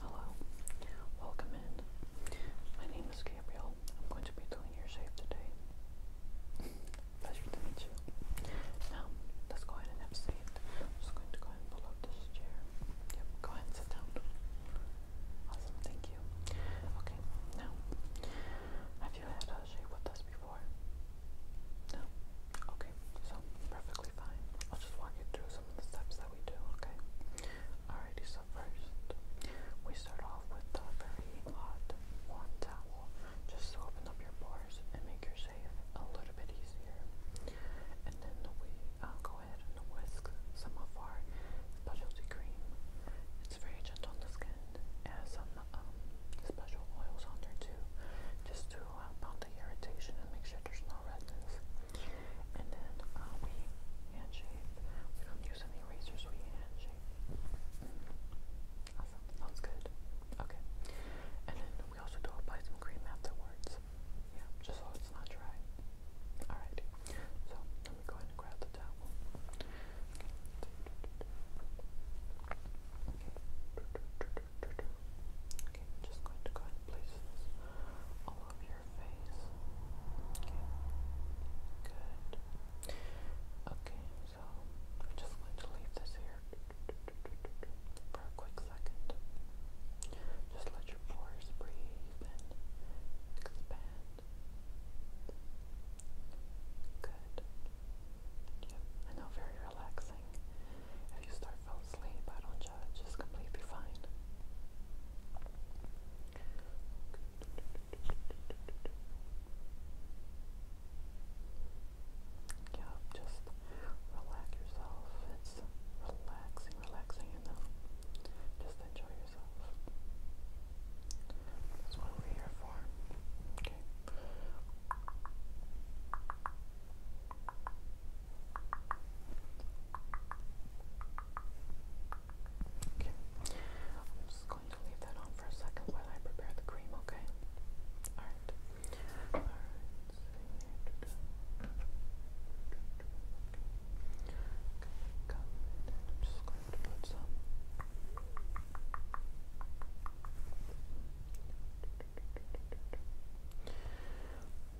Hello, welcome in. My name is Gabriel. I'm going to be doing your shape today. Pleasure to meet you. Now, let's go ahead and have a seat. I'm just going to go ahead and pull up this chair. Yep, go ahead and sit down. Awesome, thank you. Okay, now, have you had a shape with us before? No? Okay, so perfect perfectly fine. I'll just walk you through some of the steps that we do, okay? Alrighty, so first, we start off with a very hot, warm towel just to open up your pores and make your shave a little bit easier. And then we uh, go ahead and whisk some of our specialty cream. It's very gentle on the skin. It has some um, special oils on there too, just to uh, the irritation and make sure there's no redness. And then uh, we handshape. We don't use any razors, we handshape. Awesome, sounds good. Okay. And then we also do apply some cream afterwards. Yeah, just so it's not dry. Alright. So let me go ahead and grab the towel. Okay. Okay, I'm just going to go ahead and place this all over your face. Okay, good. Okay, so I'm just going to leave this here for a quick second. Just let your pores breathe and expand. Good. Yep, I know, very relaxing. If you start falling asleep, I don't uh, judge. It's completely fine. Yeah, just relax yourself. It's relaxing, relaxing enough. Just enjoy yourself. That's what we're here for. Okay. Okay. I'm just going to leave that on for a second while I prepare the cream, okay? Alright. Alright. just going to put some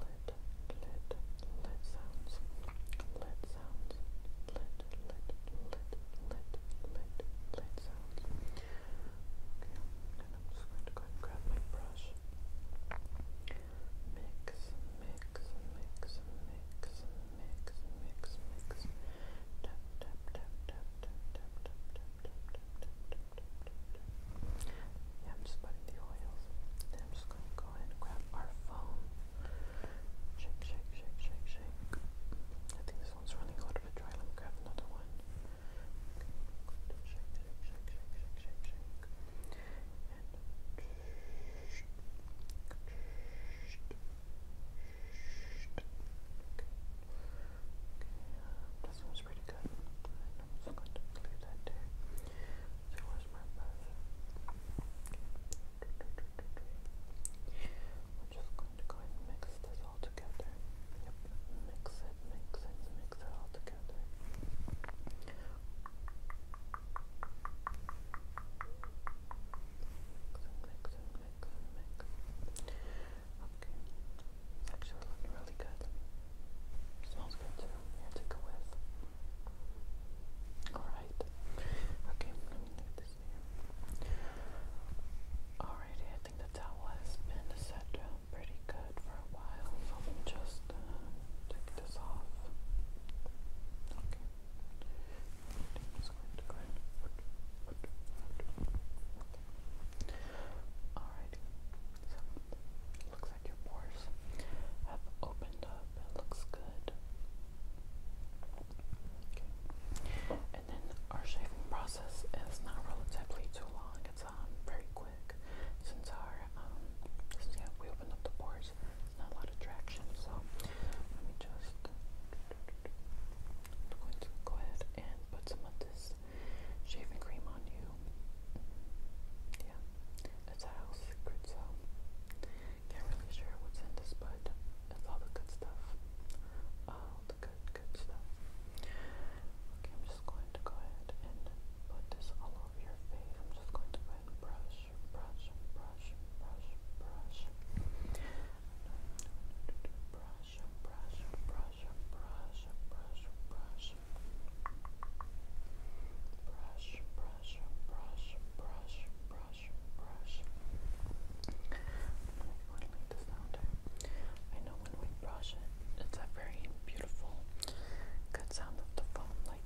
lid, lid, lid sounds, lid sounds, lid, lid, lid, lid, lid, lid sounds. Okay, and I'm just going to go and grab my brush. Mix, mix, mix, mix, mix, mix, mix. tap, tap, tap, tap, tap, tap, tap, yeah, I'm just putting the oils. Then I'm just going to go ahead and grab our phone. Shake, shake, shake, shake, shake. I think this one's running a little bit dry. Let me grab another one. Okay, shake, shake, shake, shake, shake, shake, shake. And Okay. Okay. That sounds pretty good. I'm just going to leave that there. So where's my brush? We're just going to go ahead mix this all together. Yep, mix it, mix it, mix it all together. Mix and mix mix mix. Okay, it's actually looking really good. Smells good too. Here, take a whiff. Alright. Okay, Alrighty, I think the towel has been set down pretty good for a while. So let just uh, take this off. Okay. just going to go ahead. Alright, looks like your pores have opened up. looks good. And then our shaving process is not relatively too long. It's um very quick since our um since yeah we opened up the pores. It's not a lot of traction. So let me just. going to go ahead and put some of this shaving cream on you. Yeah, it's a secret, so can't really share what's in this, but it's all the good stuff. All the good, good stuff. Okay, I'm just going to go ahead and put this all over your face. I'm just going to go ahead brush, brush, brush, brush, brush. Brush, brush, brush brush, brush, brush, brush, brush, brush, brush, brush, brush, brush. I'm gonna go and leave this out there. I know when we brush it, it's a very beautiful, good sound of the foam, like.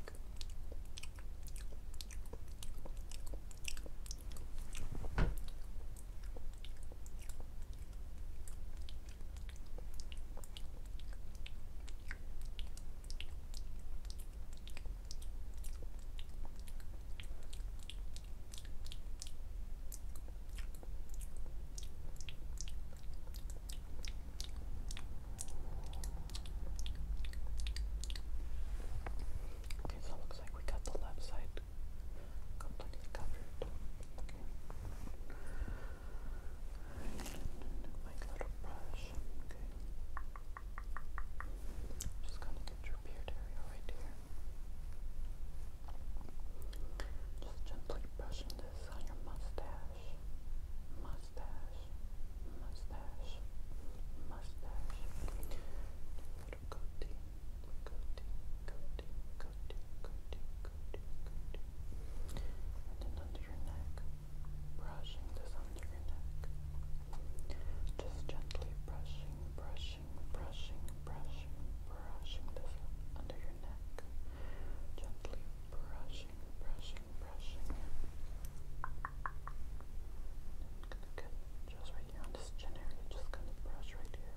Okay, so looks like we got the left side completely covered. Okay. Just gonna get your beard area right here. Just gently brushing this on your mustache. Mustache. Mustache. Mustache. Little goatee and then under your neck, brushing this under your neck, just gently brushing, brushing, brushing, brushing, brushing this under your neck, gently brushing, brushing, brushing. I'm gonna get just right here on this chin area, just gonna brush right here.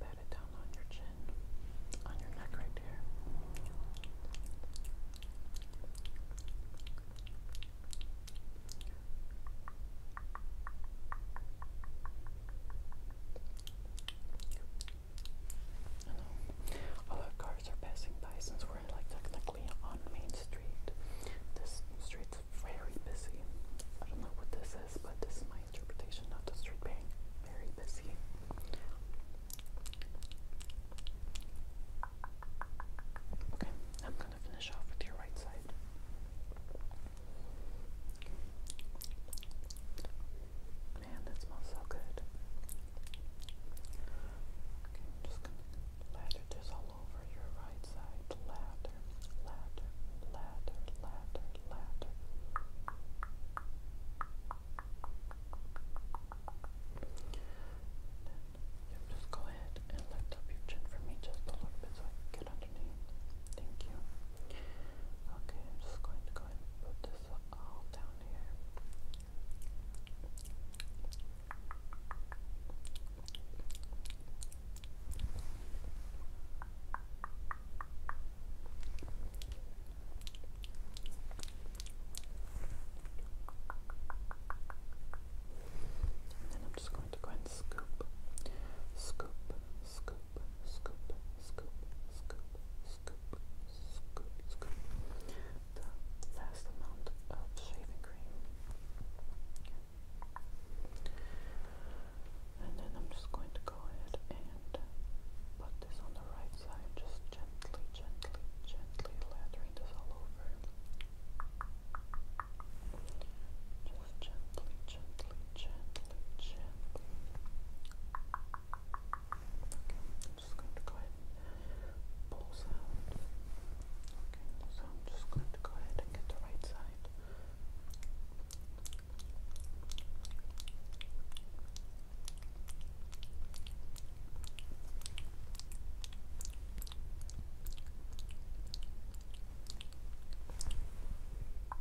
Pat it down on your chin, on your neck right there. I know. A lot of cars are passing by since we're like technically on Main Street. This street's very busy. I don't know what this is, but this is my interpretation of the street being very busy. Okay, I'm gonna finish off with your right side. Man, that smells so good. I'm just gonna lather this all over your right side. Lather, lather, lather, lather, lather. Then, yeah, just go ahead and lift up your chin for me just a little bit so I can good Thank you. Okay, I'm just going to go and put this all down here. And I'm just going to go ahead and scoop, scoop, scoop, scoop, scoop, scoop, scoop, scoop, scoop, scoop the last amount of shaving cream. And then I'm just going to go ahead and put this on the right side, just gently, gently, gently lathering this all over. Just gently, gently, gently, gently. I'm just going to go ahead and pull Okay, so I'm just going to go ahead and get the right side. You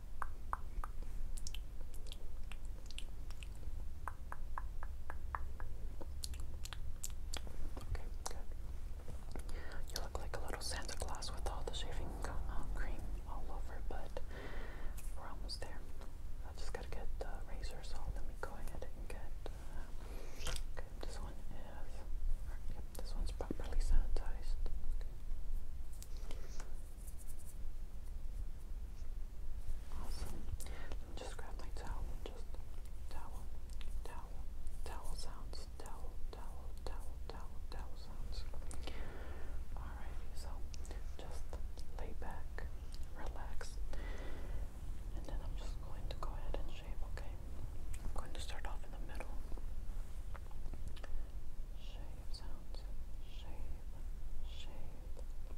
look like a little Santa Claus with all the shaving uh, cream all over, but we're almost there. I just gotta get the razor, so let me go ahead and get. Uh, okay, this one is. yep, this one's properly sanitized. Awesome. just grab my towel just towel, towel, towel sounds, towel, towel, towel, towel, sounds. Alrighty, so just lay back, relax, and then I'm just going to go ahead and shave, okay? I'm going to start off in the middle shave sounds, shave, shave,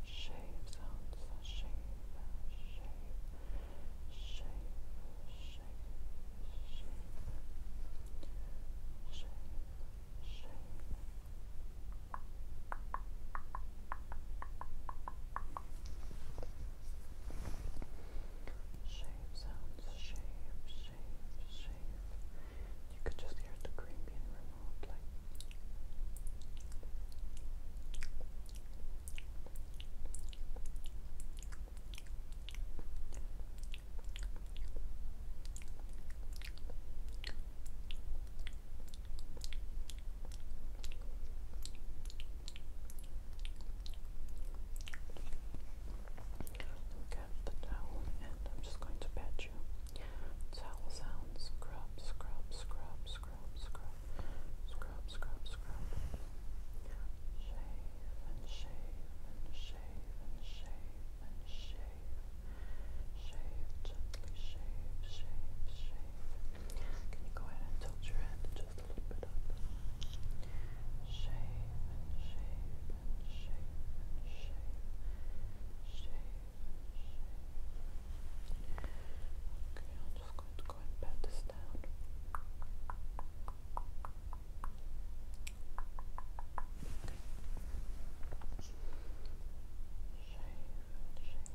shave sounds, shave, shave, shave, shave, shave, shave, shave. Shave sounds, shave, shave, shave, shave. You could just hear the cream being removed, like. Look at the towel, and I'm just going to pat you. Towel sounds. Scrub, scrub, scrub, scrub, scrub, scrub, scrub, scrub. Shave and shave and shave and shave and shave. Shave gently, shave, shave, shave. Can you go ahead and tilt your head just a little bit up? Okay, I'm just going to go and pat this down. Shave, shave.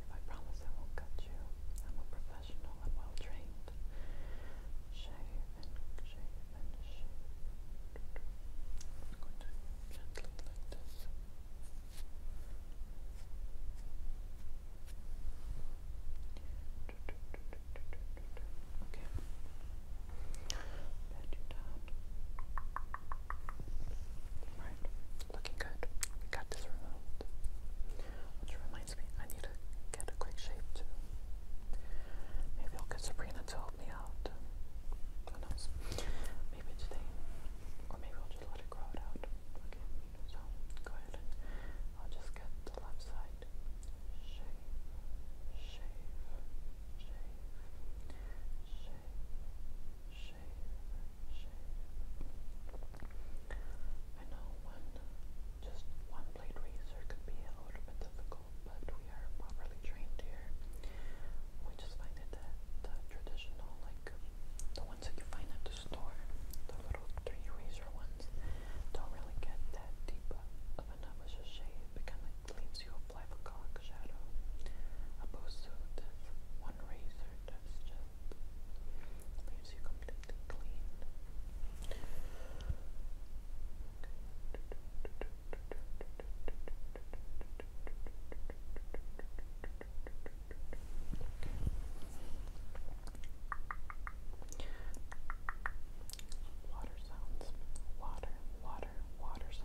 I promise I won't cut you. I'm a professional. well trained. Shave, and shape and like this. Okay. you Right. Looking good. got this removed. Which reminds me, I need to get a quick shape too. Maybe I'll get Sabrina to help me out. Who knows? Maybe today. Or maybe I'll just let it grow out. Okay, go ahead I'll just get the left side. shave, shave, shave, shave, shave. I know one, just one blade razor could be a little bit difficult local, but we are properly trained here. We just find it the traditional, like the ones that you find at the store, the little three razor ones, don't really get that deep of an ambush shade. It kind of leaves you a black shadow, opposed to this one razor that's just leaves you completely clean. Water sounds, water, water, water sounds.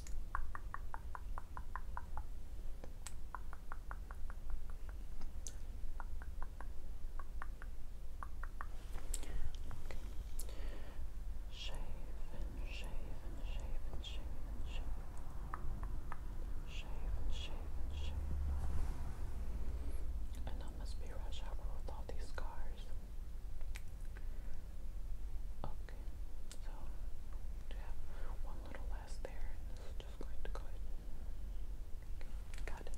Shave and shave and shave and shave and shave. Shave and shave and shave. And I must be rush hour with all these scars. Okay, so we have one little less there, and this is just going to go ahead. got it.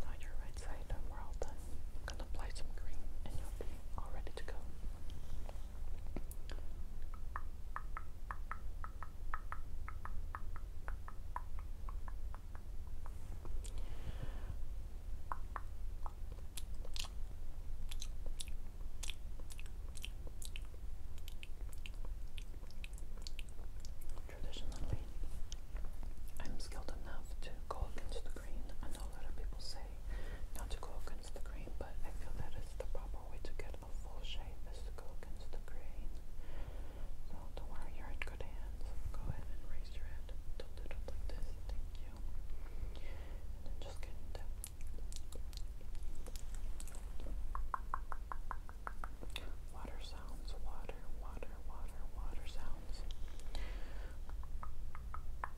Now your right side, we're all done. gonna apply some cream, and you'll be all ready to go. Traditionally, I'm skilled enough to go against the grain. I know a lot of people say not to go against the grain, but I feel that the proper way to get a full shape is to go against the grain. So don't worry, you're in good hands. Go ahead and raise your head. Tilt it like this. Thank you. And then just get in that Water sounds, water, water, water, water sounds. I'm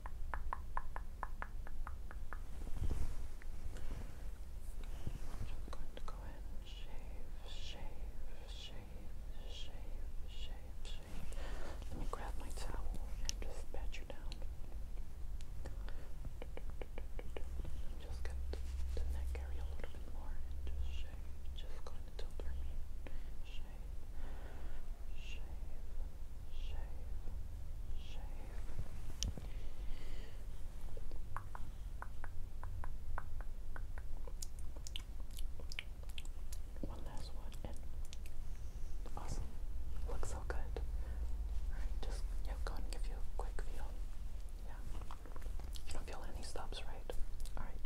going to go ahead shave, shave, shave, shave, shave, shave. Let me grab my towel and just pat pressure down. Just get the neck area a little bit more and just shave. Just going to tilt her meat. Shave, shave, shave, shave. One last one Awesome. Looks so good. Alright, just yeah, go and give you a quick feel. Yeah. You don't feel any stops, right? Alright.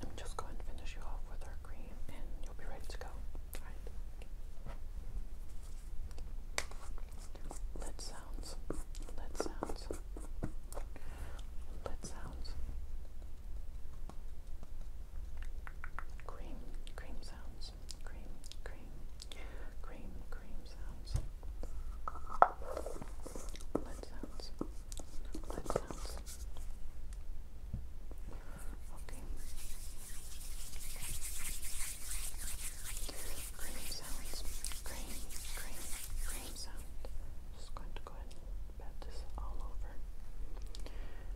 Let me just go and finish you off with our cream and you'll be ready to go. Alright. Lid sounds. Lid sounds. Lid sounds. Cream. Cream sounds sounds. Cream, cream, cream, cream sounds. Lead sounds. Lead sounds. Okay. Cream sounds. Cream, cream, cream sound. Just going to go ahead and pat this all over.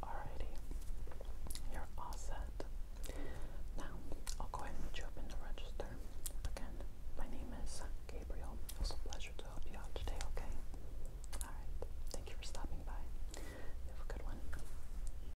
Alrighty, you're all set. Now, I'll go ahead and put you up in the register. Again, my name is Gabriel. It was a pleasure to help you out today, okay? Alright, thank you for stopping by. have a good one.